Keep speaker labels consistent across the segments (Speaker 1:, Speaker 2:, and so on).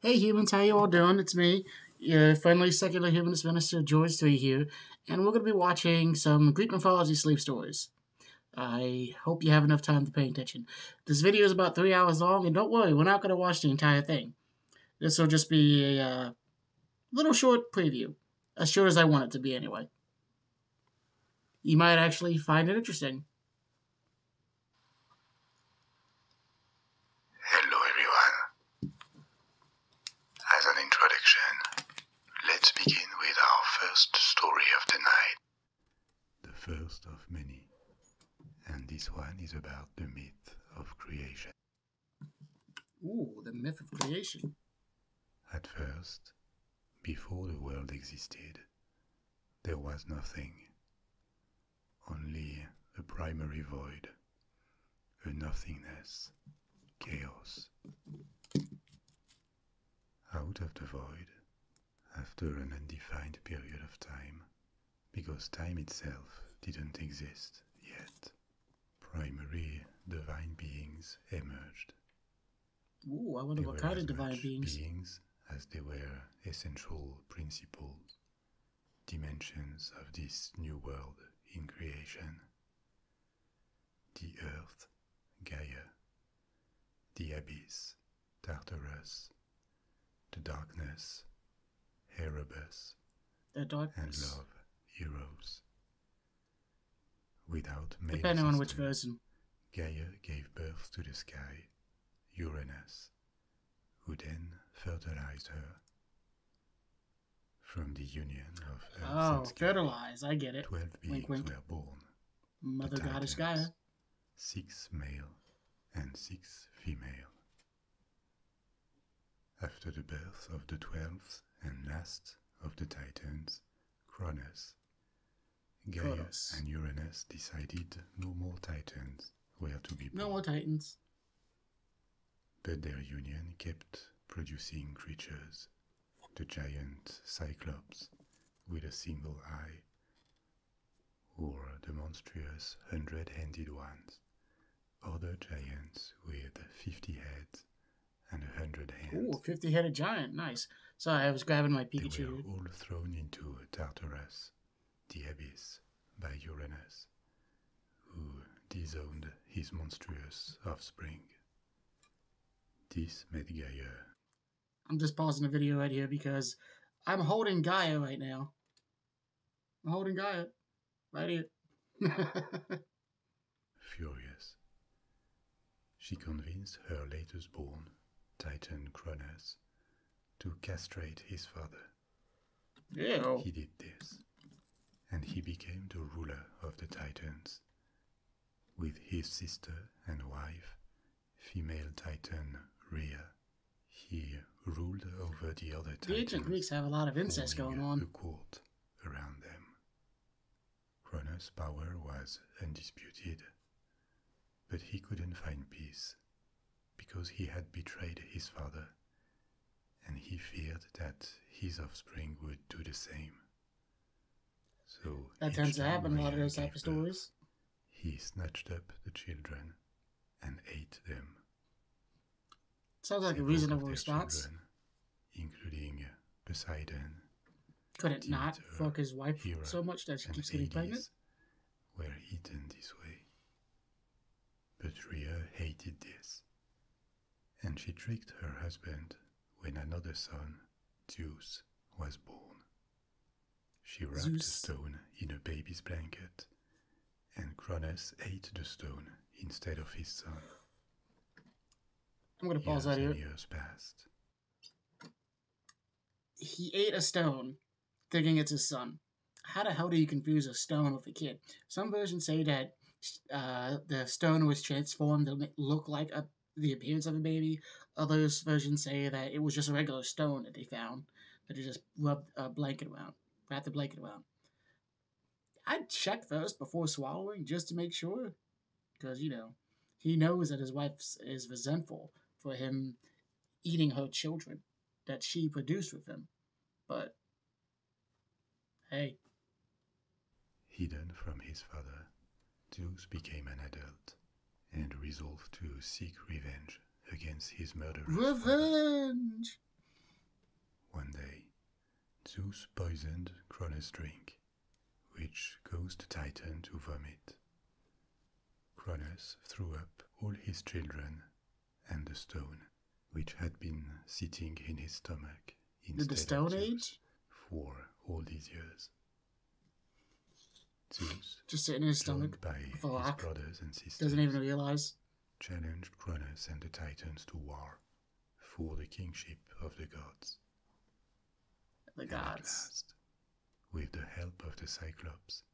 Speaker 1: Hey humans, how you all doing? It's me, your friendly secular humanist minister George Three here, and we're going to be watching some Greek mythology slave stories. I hope you have enough time to pay attention. This video is about three hours long, and don't worry, we're not going to watch the entire thing. This will just be a uh, little short preview, as short as I want it to be anyway. You might actually find it interesting.
Speaker 2: Hello everyone. As an introduction, let's begin with our first story of the night. The first of many. And this one is about the myth of creation.
Speaker 1: Oh, the myth of creation.
Speaker 2: At first, before the world existed, there was nothing. Only a primary void, a nothingness, chaos. Out of the void, after an undefined period of time, because time itself didn't exist yet, primary divine beings emerged. Ooh, I wonder they what kind of divine beings as they were essential principles, dimensions of this new world in creation. The earth, Gaia, the abyss, Tartarus, the darkness, Erebus,
Speaker 1: the darkness. and love,
Speaker 2: Eros. Without male Depending
Speaker 1: system, on which version.
Speaker 2: Gaia gave birth to the sky, Uranus, who then fertilized her. From the union of Earth oh,
Speaker 1: fertilize! I get it. Twelve beings wink, wink. were born. Mother the Goddess Gaia.
Speaker 2: Six male and six female. After the birth of the twelfth and last of the Titans, Cronus, Gaius and Uranus decided no more Titans were to be born.
Speaker 1: No more Titans.
Speaker 2: But their union kept producing creatures. The giant Cyclops with a single eye, or the monstrous hundred handed ones, other giants with 50 heads and a 100 hands. Ooh, 50 headed giant, nice. Sorry, I was grabbing my Pikachu. They were all thrown into Tartarus the abyss by Uranus, who disowned his monstrous offspring. This made Gaia.
Speaker 1: I'm just pausing the video right here because I'm holding Gaia right now. I'm holding Gaia right here.
Speaker 2: Furious, she convinced her latest born, Titan Cronus, to castrate his father. Yeah. Oh. He did this, and he became the ruler of the Titans. With his sister and wife, female Titan Rhea, he ruled over the other Titans.
Speaker 1: The ancient Greeks have a lot of incest going
Speaker 2: on. The court around them. Cronus' power was undisputed, but he couldn't find peace because he had betrayed his father, and he feared that his offspring would do the same. So that tends to happen in a lot
Speaker 1: of those type of stories.
Speaker 2: he snatched up the children and ate them.
Speaker 1: Sounds like a reasonable response.
Speaker 2: including Poseidon.
Speaker 1: Could it not fuck his wife Hera, so much that she keeps getting pregnant?
Speaker 2: were eaten this way. But Rhea hated this, and she tricked her husband when another son, Zeus, was born. She wrapped a stone in a baby's blanket, and Cronus ate the stone instead of his son. years that Years passed.
Speaker 1: He ate a stone thinking it's his son. How the hell do you confuse a stone with a kid? Some versions say that uh, the stone was transformed to look like a, the appearance of a baby. Others versions say that it was just a regular stone that they found that they just rubbed a blanket around, wrapped the blanket around. I'd check first before swallowing just to make sure, because you know he knows that his wife is resentful for him eating her children that she produced with him. But hey.
Speaker 2: Hidden from his father, Zeus became an adult and resolved to seek revenge against his murderer.
Speaker 1: Revenge!
Speaker 2: One day, Zeus poisoned Cronus' drink, which caused Titan to vomit. Cronus threw up all his children and the stone, which had been sitting in his stomach instead the Stone Age for all these years. just sitting in his stomach, by his brothers and sisters, doesn't even realize. Challenged Cronus and the Titans to war for the kingship of the gods. The gods. At with the help of the Cyclops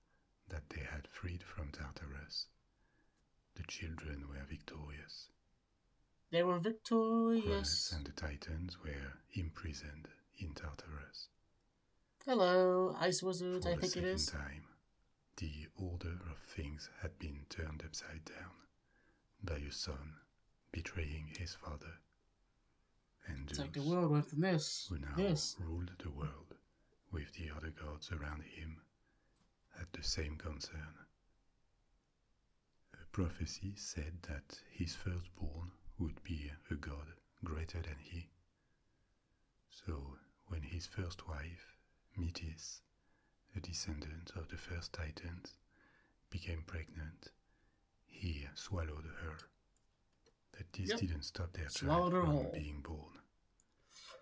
Speaker 2: that they had freed from Tartarus. The children were victorious.
Speaker 1: They were victorious. Cronus
Speaker 2: and the Titans were imprisoned in Tartarus.
Speaker 1: Hello, I Wizard, For I think it is. For the
Speaker 2: second time, the order of things had been turned upside down by a son betraying his father and Zeus the world
Speaker 1: went from this. Who now this.
Speaker 2: ruled the world, with the other gods around him, had the same concern. A prophecy said that his firstborn would be a god greater than he. So when his first wife, Metis, a descendant of the first Titans, became pregnant, he swallowed her that this didn't stop their child from being born.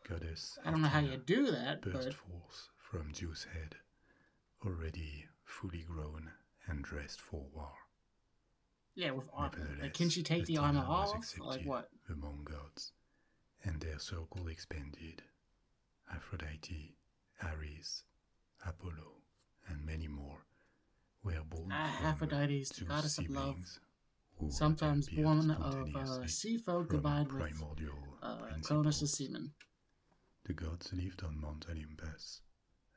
Speaker 2: Goddess. I don't know how you do that. Burst forth from Zeus' head, already fully grown and dressed for war.
Speaker 1: Yeah, with armor. Like, can she take the, the armor off? Like
Speaker 2: what? Among gods, and their circle expanded. Aphrodite, Ares, Apollo, and many more were born. Ah,
Speaker 1: Aphrodite is the goddess siblings sometimes born of sea folk combined with uh,
Speaker 2: colours of semen. The gods lived on Mount Olympus,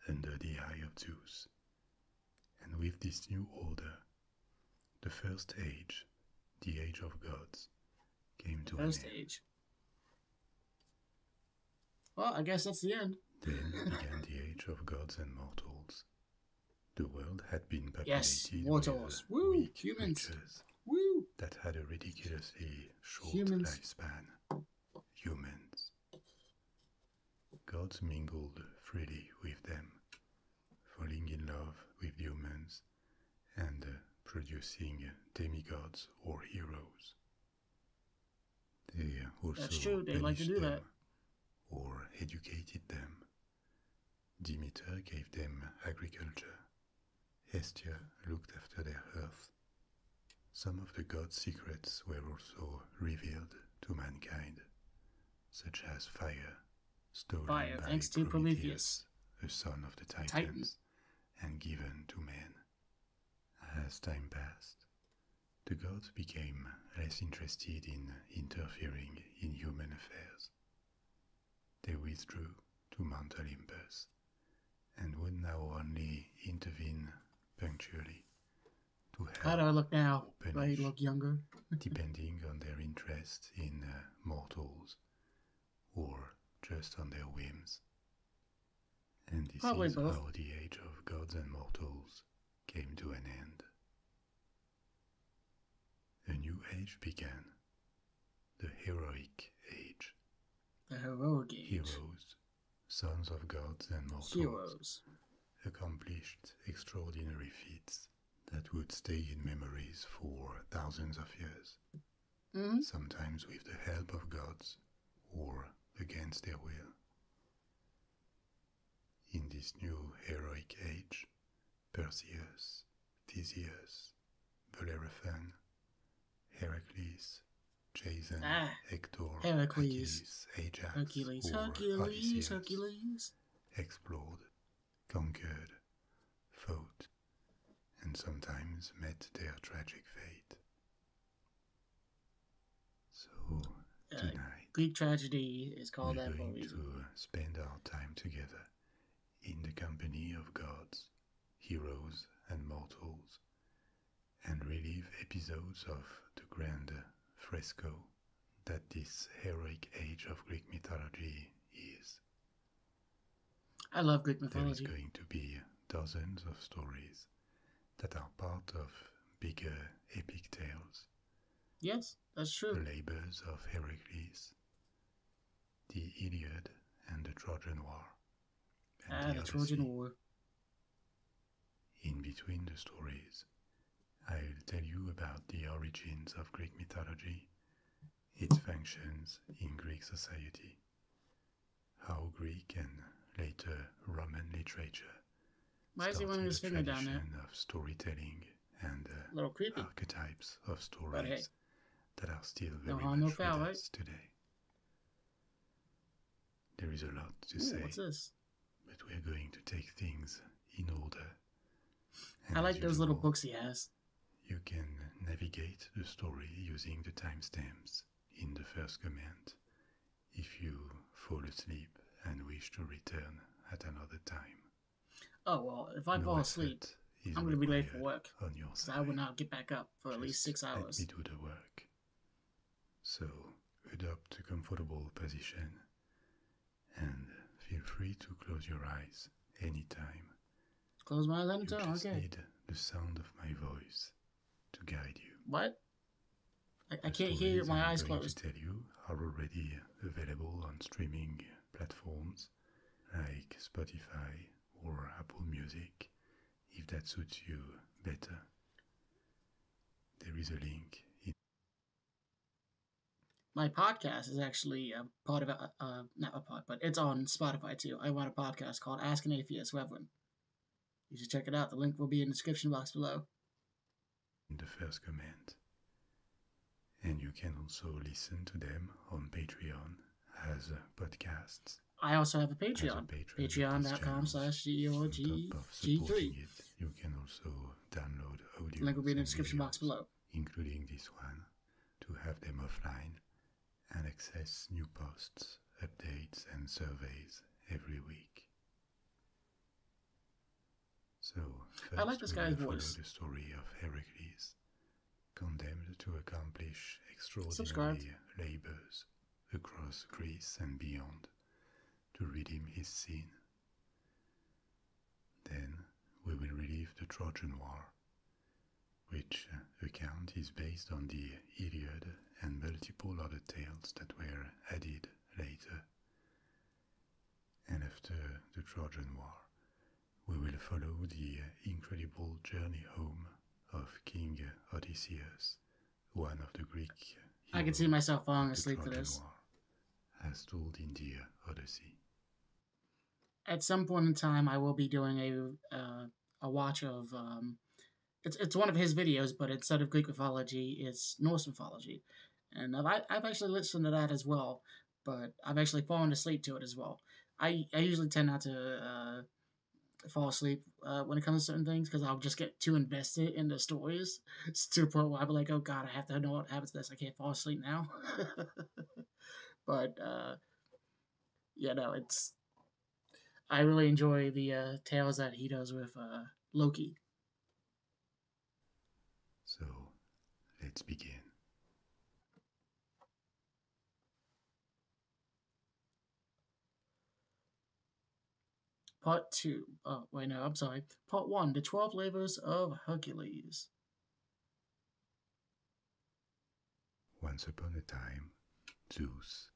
Speaker 2: under the eye of Zeus. And with this new order, the first age, the age of gods, came to an end. age. Well, I guess that's the end. Then began the age of gods and mortals, the world had been populated
Speaker 1: by waters. with Woo, weak humans.
Speaker 2: that had a ridiculously short lifespan. Humans. Gods mingled freely with them, falling in love with humans and uh, producing demigods or heroes. They also That's true, they like to do that or educated them. Demeter gave them agriculture. Hestia looked after their earth. Some of the gods' secrets were also revealed to mankind, such as fire, stolen fire, by thanks to Prometheus, the son of the Titans, and given to men. As time passed, the gods became less interested in interfering in human affairs. They withdrew to Mount Olympus and would now only intervene punctually to
Speaker 1: help. How do I look now? Do I look younger?
Speaker 2: depending on their interest in uh, mortals or just on their whims. And this Probably is how the age of gods and mortals came to an end. A new age began, the heroic age. Heroes, sons of gods and mortals, Heroes. accomplished extraordinary feats that would stay in memories for thousands of years, hmm? sometimes with the help of gods or against their will. In this new heroic age, Perseus, Theseus, Bellerophon, Heracles, Jason, ah, Hector, Heracles, Achilles, Ajax, Hercules,
Speaker 1: Odysseus,
Speaker 2: explored, conquered, fought, and sometimes met their tragic fate. So uh, tonight, Greek tragedy is called we're going to spend our time together in the company of gods, heroes, and mortals, and relive episodes of the grand fresco that this heroic age of Greek mythology is.
Speaker 1: I love Greek mythology. There is going
Speaker 2: to be dozens of stories that are part of bigger epic tales. Yes, the labors of Heracles, the Iliad, and the Trojan War. And ah, the Trojan War. In between the stories, I'll tell you about the origins of Greek mythology, its functions in Greek society, how Greek and later Roman literature why is he wanting his finger down there? of storytelling and uh, archetypes of stories that are still very no
Speaker 1: much no us
Speaker 2: today. There is a lot to say. But we're going to take things in order.
Speaker 1: I like those little books he has.
Speaker 2: You can navigate the story using the timestamps in the first command. If you fall asleep and wish to return at another time.
Speaker 1: Oh well, if I fall asleep, I'm going to be late for work. I will not get back up for at least six hours. Let me do the work.
Speaker 2: So adopt a comfortable position, and feel free to close your eyes anytime.
Speaker 1: Close my eyes anytime. You just need
Speaker 2: the sound of my voice to guide you. What?
Speaker 1: I, can't hear my I'm eyes closed. To
Speaker 2: tell you are already available on streaming platforms like Spotify or Apple Music, if that suits you better. There is a link. In-
Speaker 1: my podcast is actually a part of a, not a pod, but it's on Spotify too. I want a podcast called Ask an Atheist Reverend. You should check it out. The link will be in the description box below
Speaker 2: in the first comment. And you can also listen to them on Patreon as podcasts.
Speaker 1: I also have a Patreon. Patreon.com Patreon slash
Speaker 2: G3. You can also download audio. Link will be in the description box below. Including this one, to have them offline and access new posts, updates, and surveys every week. So first I like this guy's voice. The story of Heracles, condemned to accomplish extraordinary labors across Greece and beyond, to redeem his sin. Then we will relive the Trojan War, which account is based on the Iliad and multiple other tales that were added later and after the Trojan War, we will follow the incredible journey home of King Odysseus, one of the Greek. I can see myself falling asleep to this. War, as told in the Odyssey.
Speaker 1: At some point in time, I will be doing a uh, a watch of. Um, it's, it's one of his videos, but instead of Greek mythology, it's Norse mythology and I've, I've actually listened to that as well, but I've actually fallen asleep to it as well. I, I usually tend not to uh, fall asleep uh, when it comes to certain things because I'll just get too invested in the stories it's to the point where I'll be like, oh god, I have to know what happens to this. I can't fall asleep now. but uh, yeah, no, it's I really enjoy the uh, tales that he does with
Speaker 2: Loki. So let's begin.
Speaker 1: Part 2. Oh, wait, no, I'm sorry. Part 1 The 12 Labors of Hercules.
Speaker 2: Once upon a time, Zeus,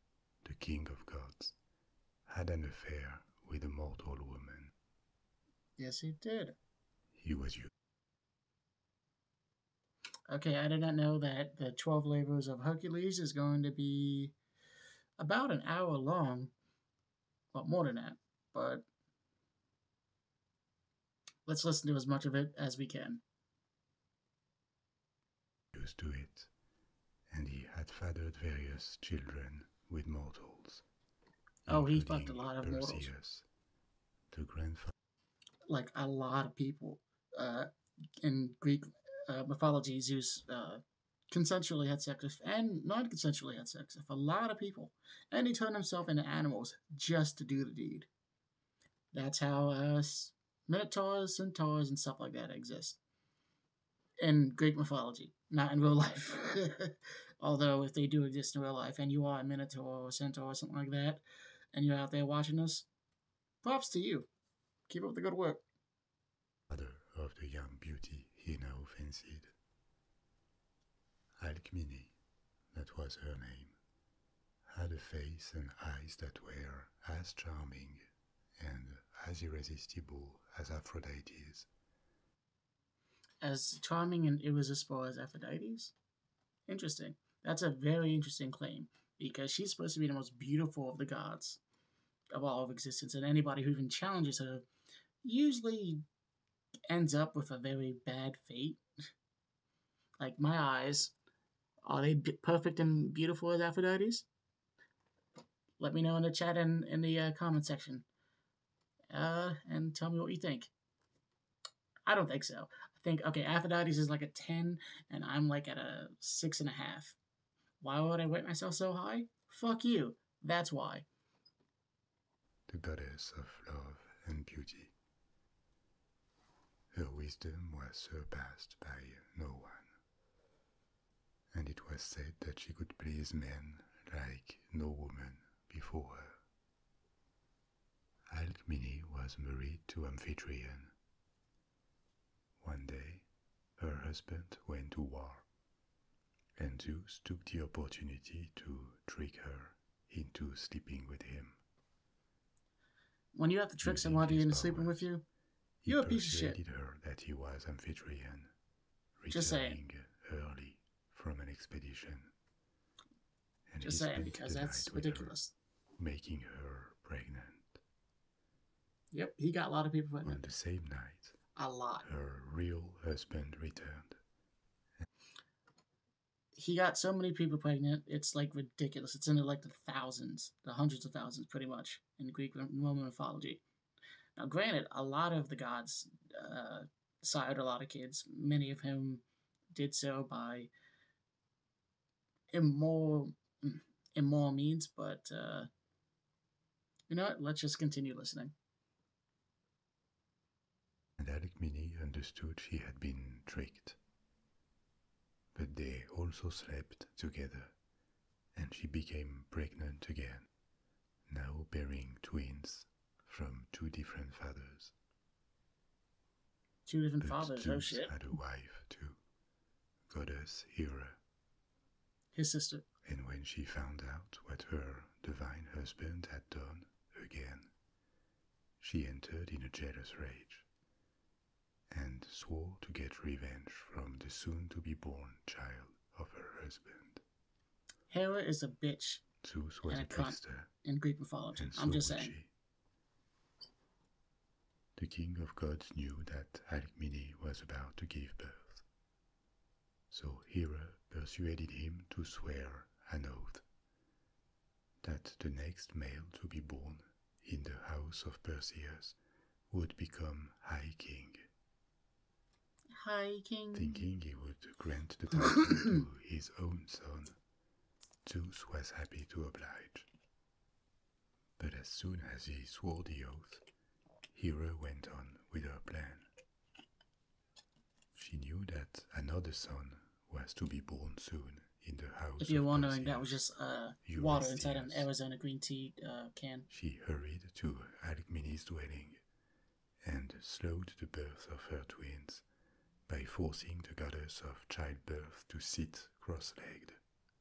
Speaker 2: the king of gods, had an affair with a mortal woman
Speaker 1: Yes, he did. He was you. Okay, I did not know that the 12 Labors of Hercules is going to be about an hour long. Well, more than that, but let's listen to as much of it as we can.
Speaker 2: Used to it, and he had fathered various children with mortals.
Speaker 1: Oh, he fucked a lot of Perseus, mortals. Like a lot of people. Uh, in Greek uh, mythology, Zeus uh, consensually had sex with and non consensually had sex with a lot of people. And he turned himself into animals just to do the deed. That's how uh, minotaurs, centaurs, and stuff like that exist in Greek mythology, not in real life. Although if they do exist in real life, and you are a minotaur or a centaur or something like that, and you're out there watching us, props to you. Keep up the good work.
Speaker 2: Father of the young beauty he now that was her name, had a face and eyes that were as charming and as irresistible as Aphrodite's
Speaker 1: as charming and irresistible as Aphrodite's? Interesting. That's a very interesting claim because she's supposed to be the most beautiful of the gods of all of existence, and anybody who even challenges her usually ends up with a very bad fate. like my eyes, are they perfect and beautiful as Aphrodite's? Let me know in the chat and in the uh, comment section. Uh, and tell me what you think. I don't think so. I think, okay, Aphrodite is like a 10, and I'm like at a 6.5. Why would I rate myself so high? Fuck you. That's why.
Speaker 2: The goddess of love and beauty. Her wisdom was surpassed by no one, and it was said that she could please men like no woman before her. Alcmene was married to Amphitryon. One day, her husband went to war, and Zeus took the opportunity to trick her into sleeping with him.
Speaker 1: When you have to trick Using somebody into sleeping with you,
Speaker 2: you're a piece of shit. He her that he was Amphitryon,
Speaker 1: returning Just saying.
Speaker 2: early from an expedition. And Just saying, because that's ridiculous. Her, making her pregnant.
Speaker 1: Yep, he got a lot of people pregnant. On
Speaker 2: the same night. A lot. Her real husband returned.
Speaker 1: He got so many people pregnant, it's like ridiculous. It's in the like the thousands, the hundreds of thousands, pretty much, in Greek and Roman mythology. Now, granted, a lot of the gods uh, sired a lot of kids, many of whom did so by immoral, immoral means, but uh, you know what? Let's just continue listening.
Speaker 2: And Alec Mini understood she had been tricked. But they also slept together, and she became pregnant again now bearing twins from two different fathers. Two different but fathers, Zeus oh had a wife too, goddess Hera. His sister. And when she found out what her divine husband had done again, she entered in a jealous rage and swore to get revenge from the soon to be born child of her husband.
Speaker 1: Hera is a bitch. and a, a In Greek mythology. I'm just saying.
Speaker 2: The king of gods knew that Alcmene was about to give birth. So Hera persuaded him to swear an oath that the next male to be born in the house of Perseus would become High King,
Speaker 1: Hiking. Thinking
Speaker 2: he would grant the title to his own son, Zeus was happy to oblige. But as soon as he swore the oath, Hera went on with her plan. She knew that another son was to be born soon in the house. If
Speaker 1: you're wondering, that was just uh, water inside an Arizona green tea uh, can.
Speaker 2: She hurried to Alcmene's dwelling and slowed the birth of her twins by forcing the goddess of childbirth to sit cross legged,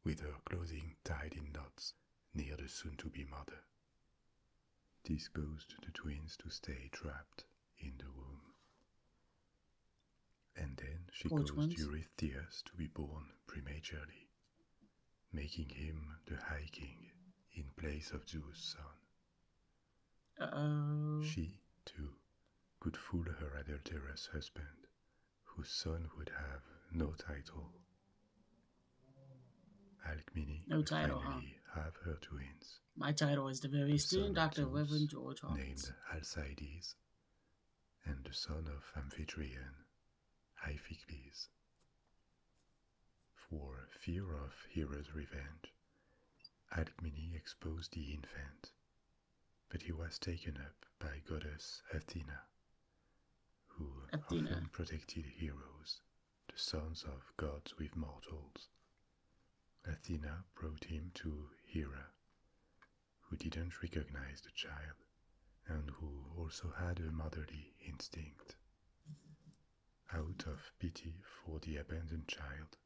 Speaker 2: with her clothing tied in knots near the soon to be mother. This caused the twins to stay trapped in the womb. And then she Which caused ones? to be born prematurely, making him the High King in place of Zeus' son. She, too, could fool her adulterous husband, whose son would have no title. Alcmene no title, finally have her twins. My
Speaker 1: title is the very same, doctor, Reverend George Hawkins. Named
Speaker 2: Alcides, and the son of Amphitryon, Iphicles. For fear of Hera's revenge, Alcmene exposed the infant, but he was taken up by goddess Athena, who often protected heroes, the sons of gods with mortals. Athena brought him to Hera, who didn't recognize the child and who also had a motherly instinct. Out of pity for the abandoned child,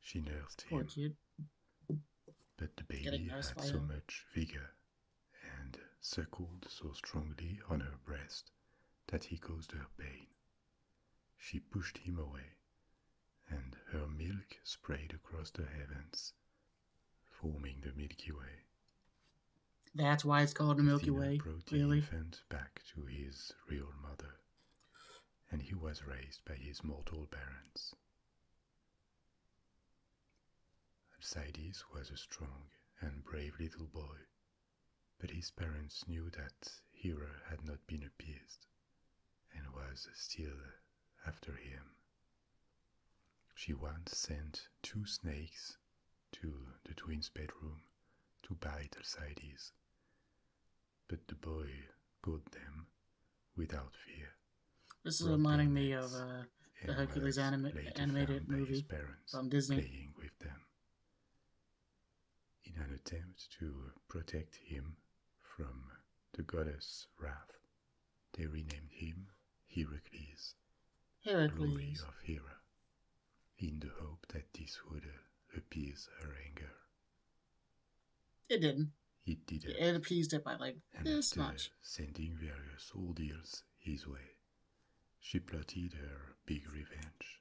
Speaker 2: she nursed him. But the baby had so much vigor and suckled so strongly on her breast that he caused her pain. She pushed him away, and her milk sprayed across the heavens, forming the Milky Way.
Speaker 1: That's why it's called the Milky Way. Really?
Speaker 2: Went back to his real mother, and he was raised by his mortal parents. Alcides was a strong and brave little boy, but his parents knew that Hera had not been appeased and was still after him. She once sent two snakes to the twins' bedroom to bite Alcides. But the boy caught them without fear.
Speaker 1: This is reminding me of uh, the Hercules animated movie from
Speaker 2: Disney. Playing with them. In an attempt to protect him from the goddess' wrath, they renamed him Heracles.
Speaker 1: Heracles.
Speaker 2: of Hera in the hope that this would uh, appease her anger. It didn't. It
Speaker 1: didn't. It appeased it by like and this
Speaker 2: Sending various ordeals his way, she plotted her big revenge.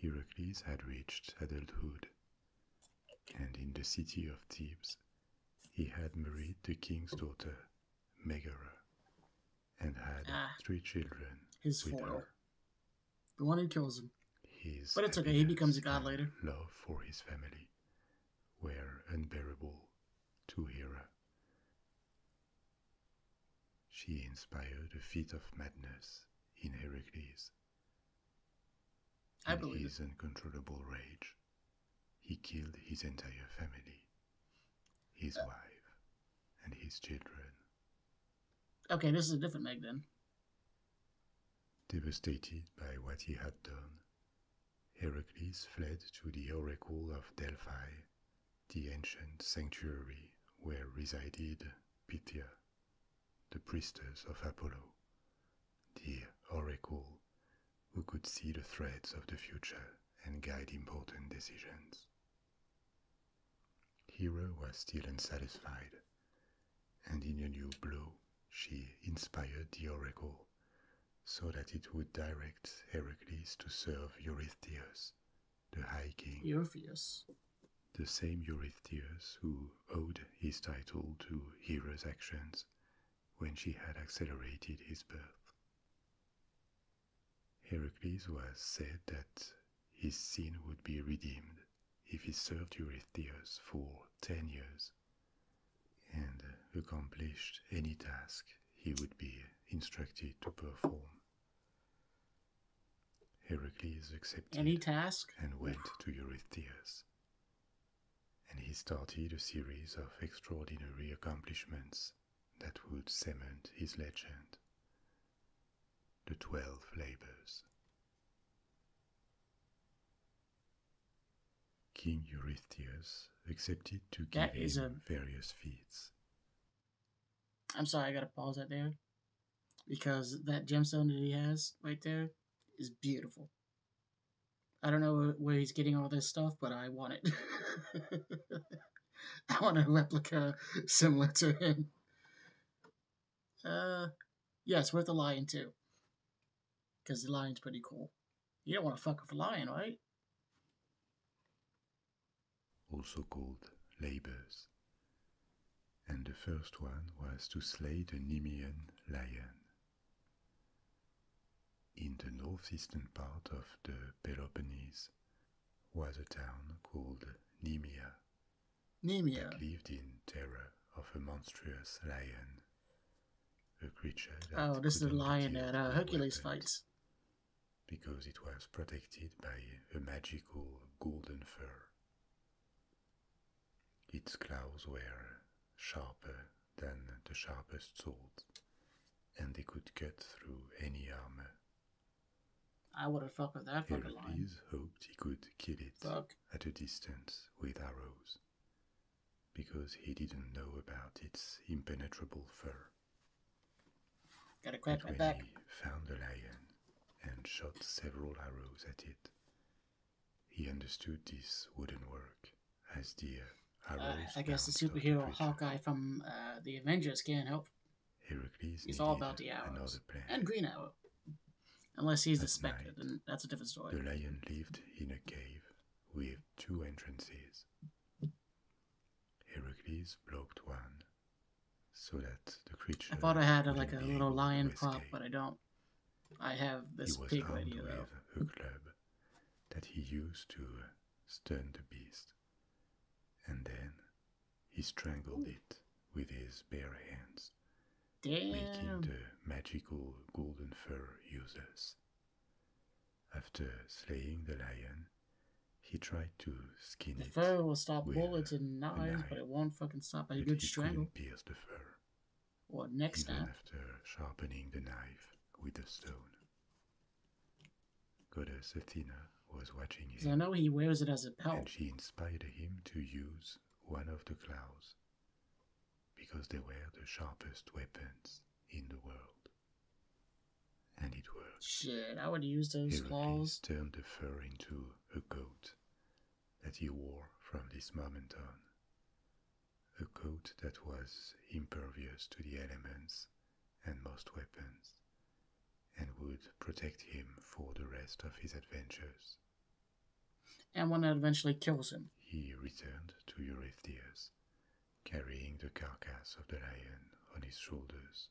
Speaker 2: Heracles had reached adulthood, and in the city of Thebes, he had married the king's daughter, Megara, and had ah. three children. His
Speaker 1: with foil. The one who kills him. His but it's okay, he becomes a god later.
Speaker 2: Love for his family were unbearable to Hera. She inspired a fit of madness in Heracles. I in believe his uncontrollable rage, he killed his entire family, his uh. wife, and his children.
Speaker 1: Okay, this is a different Meg then.
Speaker 2: Devastated by what he had done, Heracles fled to the oracle of Delphi, the ancient sanctuary where resided Pythia, the priestess of Apollo, the oracle who could see the threads of the future and guide important decisions. Hera was still unsatisfied, and in a new blow, she inspired the oracle so that it would direct Heracles to serve Eurystheus, the High King. Eurystheus. The same Eurystheus who owed his title to Hera's actions when she had accelerated his birth. Heracles was said that his sin would be redeemed if he served Eurystheus for ten years and accomplished any task he would be instructed to perform. Heracles accepted
Speaker 1: any task and went
Speaker 2: to Eurystheus. And he started a series of extraordinary accomplishments that would cement his legend the Twelve Labors. King Eurystheus accepted to give that is him various feats.
Speaker 1: I'm sorry, I gotta pause right there because that gemstone that he has right there is beautiful. I don't know where he's getting all this stuff, but I want it. I want a replica similar to him. Uh, yeah, it's worth a lion too. Because the lion's pretty cool. You don't want to fuck with a lion, right?
Speaker 2: Also called labors. And the first one was to slay the Nemean lion. In the northeastern part of the Peloponnese, was a town called Nemea. Nemea. That lived in terror of a monstrous lion. A creature
Speaker 1: Oh, this is the lion that uh, Hercules fights.
Speaker 2: Because it was protected by a magical golden fur. Its claws were sharper than the sharpest swords, and they could cut through any armor
Speaker 1: I wouldn't fuck with that fucking line.
Speaker 2: hoped he could kill it at a distance with arrows, because he didn't know about its impenetrable fur.
Speaker 1: Gotta crack my back. He
Speaker 2: found the lion and shot several arrows at it. He understood this wouldn't work, as the arrows. Uh,
Speaker 1: I guess the superhero Hawkeye from uh, the Avengers can't help.
Speaker 2: Heracles He's all
Speaker 1: about the hours and Green Arrow. Unless he's At specter, night, and that's a different
Speaker 2: story. The lion lived in a cave with two entrances. Heracles blocked one, so that the creature. I thought I had uh, like a
Speaker 1: little lion prop, but I don't. I have this he was pig armed idea,
Speaker 2: with a club that he used to stun the beast, and then he strangled it with his bare hands, making the magical golden fur useless. After slaying the lion, he tried to skin the it.
Speaker 1: The fur will stop bullets and knives, but it won't fucking stop a good strangle.
Speaker 2: Pierce the fur. next Even after sharpening the knife with a stone. Goddess Athena was watching him. I
Speaker 1: know he wears it as a pelt. And she
Speaker 2: inspired him to use one of the claws, because they were the sharpest weapons in the world. And it worked. Shit, I would use those Heracles claws. turned the fur into a coat that he wore from this moment on. A coat that was impervious to the elements and most weapons, and would protect him for the rest of his adventures.
Speaker 1: And one eventually kills him.
Speaker 2: He returned to Eurystheus, carrying the carcass of the lion on his shoulders,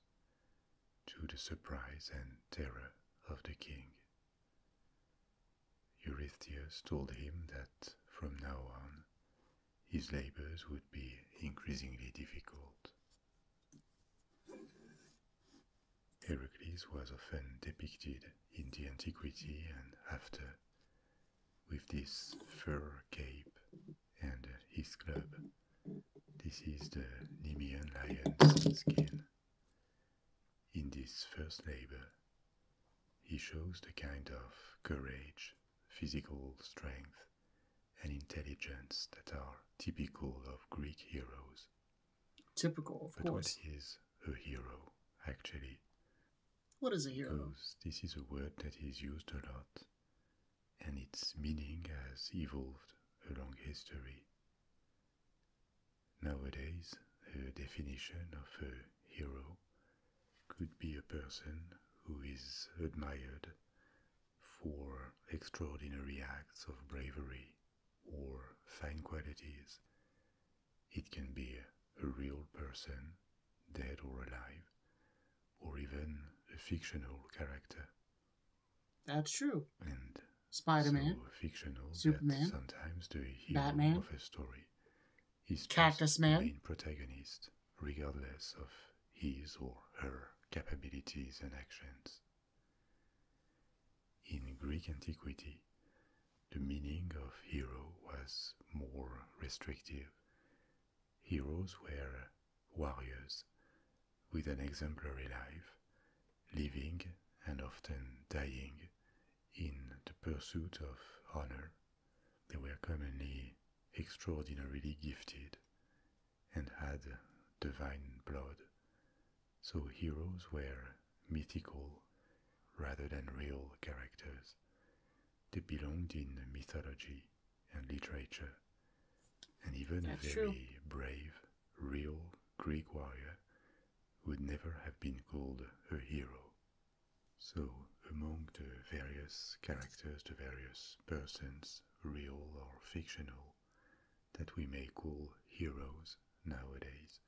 Speaker 2: to the surprise and terror of the king. Eurystheus told him that from now on his labors would be increasingly difficult Heracles was often depicted in the antiquity and after with this fur cape and his club. This is the Nemean lion skin. In this first labor, he shows the kind of courage, physical strength, and intelligence that are typical of Greek heroes.
Speaker 1: Typical, of but course.
Speaker 2: What is a hero, actually? What is a hero? Because this is a word that is used a lot, and its meaning has evolved along history. Nowadays, a definition of a hero could be a person who is admired for extraordinary acts of bravery or fine qualities. It can be a real person, dead or alive, or even a fictional character.
Speaker 1: That's true. And Spider-Man,
Speaker 2: so fictional Superman, sometimes the hero Batman, of a story
Speaker 1: is Cactus Man, the
Speaker 2: main protagonist, regardless of his or her capabilities and actions. In Greek antiquity, the meaning of hero was more restrictive. Heroes were warriors with an exemplary life, living and often dying in the pursuit of honor. They were commonly extraordinarily gifted and had divine blood, so heroes were mythical rather than real characters. They belonged in mythology and literature, and even a very brave, real Greek warrior would never have been called a hero. So, among the various characters, the various persons, real or fictional, that we may call heroes nowadays.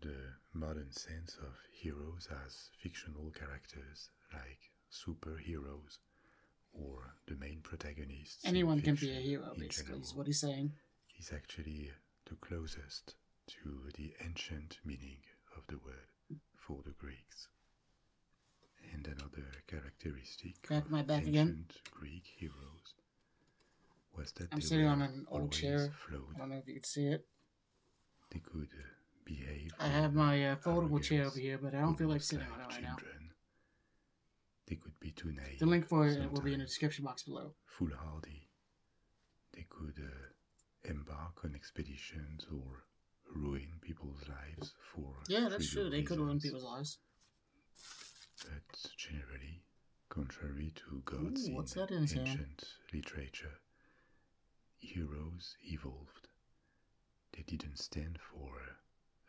Speaker 2: The modern sense of heroes as fictional characters like superheroes or the main protagonists. Anyone can be a hero, basically, is what he's saying. Is actually the closest to the ancient meaning of the word for the Greeks and another characteristic Crack of my back ancient again. Greek heroes was that I'm sitting on an old chair. Flowed.
Speaker 1: I don't know if you can see it.
Speaker 2: They could uh, behave.
Speaker 1: I have my uh, foldable chair over here, but I don't feel like sitting on it right now.
Speaker 2: They could be too naive. The
Speaker 1: link for it will be in the description box below.
Speaker 2: Foolhardy. They could uh, embark on expeditions or ruin people's lives for. Yeah, that's true.
Speaker 1: They could ruin people's lives
Speaker 2: but generally, contrary to gods Ooh, in ancient literature, heroes evolved. They didn't stand for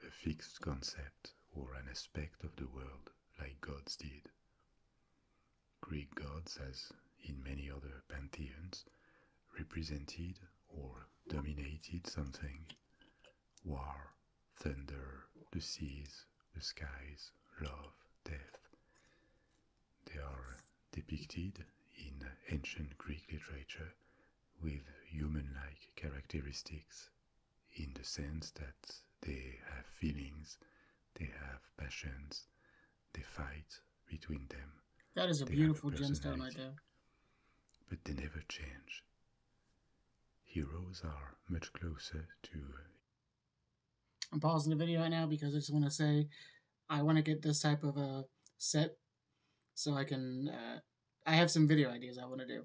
Speaker 2: a fixed concept or an aspect of the world like gods did. Greek gods, as in many other pantheons, represented or dominated something, war, thunder, the seas, the skies, love, death. They are depicted in ancient Greek literature with human like characteristics in the sense that they have feelings, they have passions, they fight between them.
Speaker 1: That is a beautiful gemstone right there.
Speaker 2: But they never change. Heroes are much closer to.
Speaker 1: I'm pausing the video right now because I just want to say I want to get this type of a set so I can. Uh, I have some video ideas I want to do.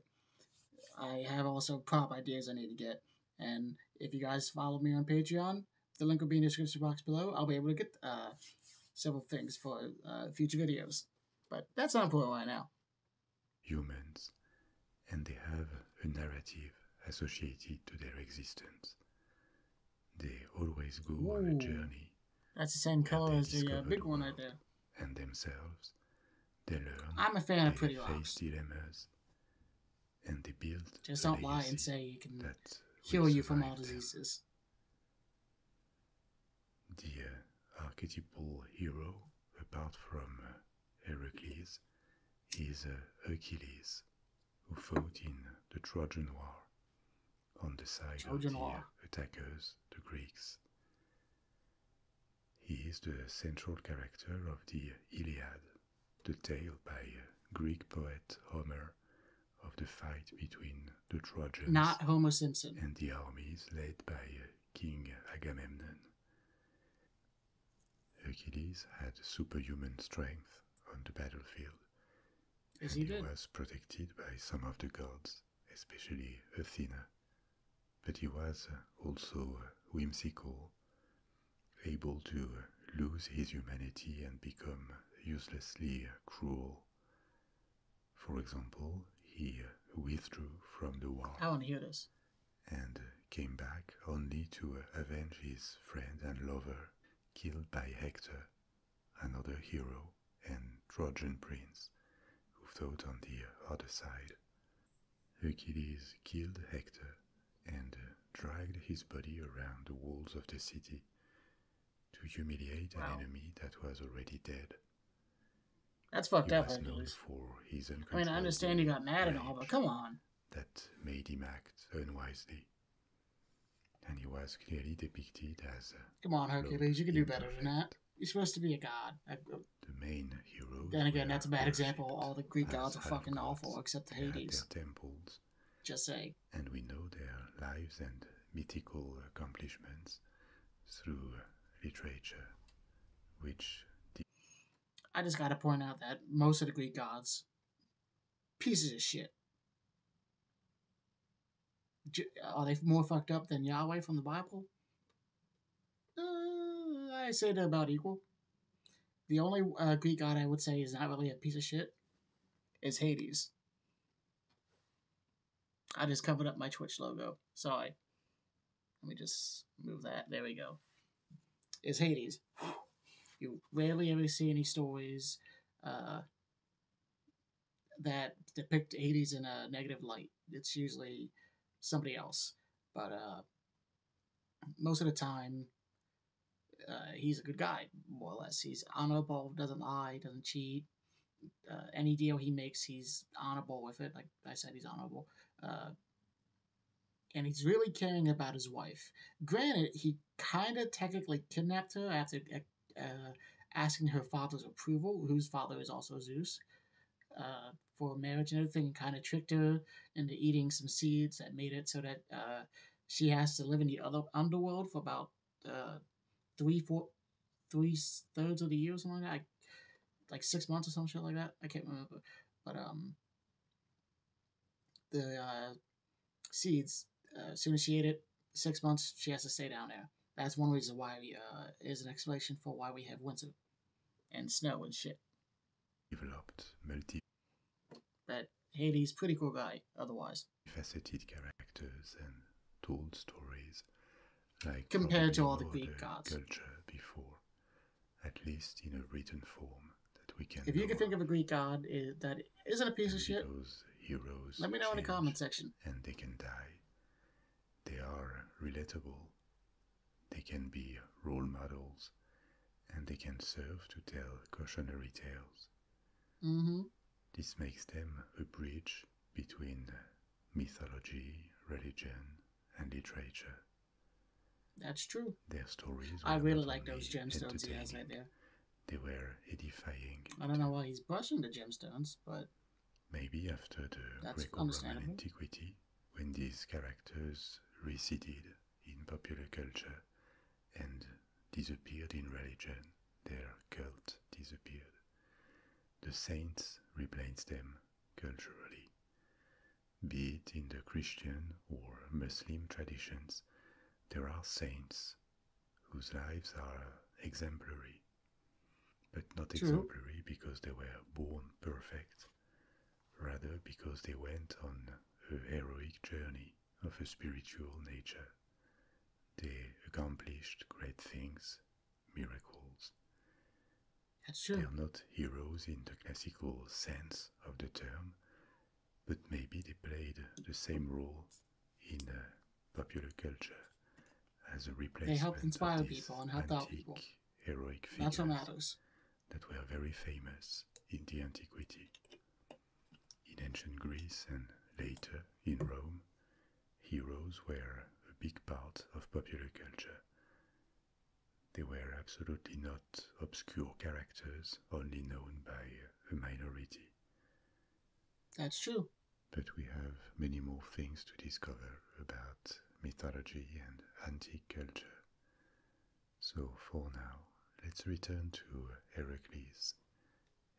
Speaker 1: I have also prop ideas I need to get. And if you guys follow me on Patreon, the link will be in the description box below. I'll be able to get uh, several things for uh, future videos. But that's not important right now
Speaker 2: humans, and they have a narrative associated to their existence. They always go on a journey.
Speaker 1: That's the same color as the uh, big
Speaker 2: one right there. And themselves, they learn. I'm a fan of Pretty Rocks. dilemmas, and they build.
Speaker 1: Just don't lie and say you can heal you from all diseases
Speaker 2: the uh, archetypal hero, apart from uh, Heracles, is Hercules, uh, who fought in the Trojan War on the side of the War. attackers, the Greeks. He is the central character of the Iliad, the tale by Greek poet Homer of the fight between the Trojans and the armies led by King Agamemnon. Hercules had superhuman strength on the battlefield, and he, he was protected by some of the gods, especially Athena. But he was uh, also whimsical, able to lose his humanity and become uselessly cruel. For example, he withdrew from the war.
Speaker 1: I want to hear this.
Speaker 2: And came back only to avenge his friend and lover killed by Hector, another hero and Trojan prince who fought on the other side. Achilles killed Hector and dragged his body around the walls of the city to humiliate an enemy that was already dead.
Speaker 1: That's fucked up. Was I mean, I understand he got mad and all, but come on.
Speaker 2: That made him act unwisely. And he was clearly depicted as. come on,
Speaker 1: Hercules, you can do better than that. You're supposed to be a god. The
Speaker 2: main hero. Then
Speaker 1: again, that's a bad example. All the Greek gods are fucking awful, except the Hades.
Speaker 2: temples. Just say. And we know their lives and mythical accomplishments through literature, which.
Speaker 1: I just gotta point out that most of the Greek gods, pieces of shit. Are they more fucked up than Yahweh from the Bible? Uh, I say about equal. The only uh, Greek god I would say is not really a piece of shit is Hades. I just covered up my Twitch logo. Sorry. Let me just move that. There we go. It's Hades. You rarely ever see any stories uh, that depict Hades in a negative light. It's usually somebody else. But uh, most of the time, uh, he's a good guy, more or less. He's honorable, doesn't lie, doesn't cheat, uh, any deal he makes, he's honorable with it. Like I said, he's honorable. Uh, and he's really caring about his wife. Granted, he kind of technically kidnapped her after uh, uh, asking her father's approval, whose father is also Zeus, uh, for marriage and everything, and kind of tricked her into eating some seeds that made it so that uh, she has to live in the other underworld for about uh, three, four, three thirds of the year or something like that. like six months or some shit like that. I can't remember. But um, the uh, seeds, uh, as soon as she ate it, six months, she has to stay down there. That's one reason why we, uh, is an explanation for why we have winter and snow and shit.
Speaker 2: Developed, multi.
Speaker 1: But Hades, pretty cool guy, otherwise.
Speaker 2: Faceted characters and told stories like compared to all the Greek gods. Culture before, at least in a written form that we can. If you can think
Speaker 1: of a Greek god eh, that isn't a piece of shit,
Speaker 2: heroes let me know in the
Speaker 1: comment section. And they can die.
Speaker 2: They are relatable. They can be role models, and they can serve to tell cautionary tales. Mm-hmm. This makes them a bridge between mythology, religion, and literature. That's true. Their stories. I
Speaker 1: really like those gemstones he has right there.
Speaker 2: They were edifying.
Speaker 1: I don't know why he's brushing the gemstones, but
Speaker 2: maybe after the Greco-Roman antiquity, when these characters receded in popular culture and disappeared in religion, their cult disappeared. The saints replaced them culturally, be it in the Christian or Muslim traditions. There are saints whose lives are exemplary, but not exemplary because they were born perfect, rather because they went on a heroic journey of a spiritual nature. They accomplished great things miracles. They are not heroes in the classical sense of the term, but maybe they played the same role in uh, popular culture as a replacement. They helped
Speaker 1: inspire people and helped out people.
Speaker 2: Heroic figures That were very famous in the antiquity. In ancient Greece and later in Rome, heroes were a big part of popular culture. They were absolutely not obscure characters only known by a minority. That's true. But we have many more things to discover about mythology and antique culture. So for now, let's return to Heracles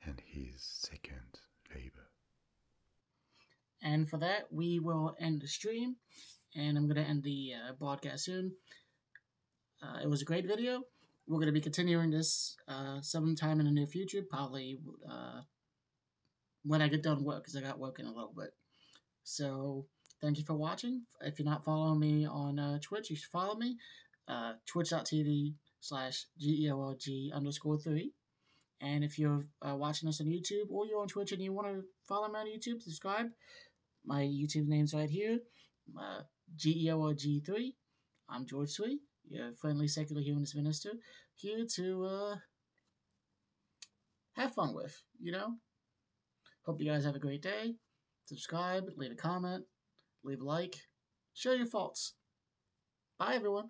Speaker 2: and his second labor.
Speaker 1: And for that, we will end the stream. And I'm going to end the uh, broadcast soon. Uh, it was a great video. We're going to be continuing this uh, sometime in the near future, probably uh, when I get done work, because I got work in a little bit. So thank you for watching. If you're not following me on uh, Twitch, you should follow me. twitch.tv slash G-E-O-L-G underscore 3. And if you're uh, watching us on YouTube or you're on Twitch and you want to follow me on YouTube, subscribe. My YouTube name's right here, uh, G-E-O-R-G-3. I'm George Sweet, your friendly secular humanist minister, here to uh, have fun with, you know? Hope you guys have a great day. Subscribe, leave a comment, leave a like, share your thoughts. Bye, everyone.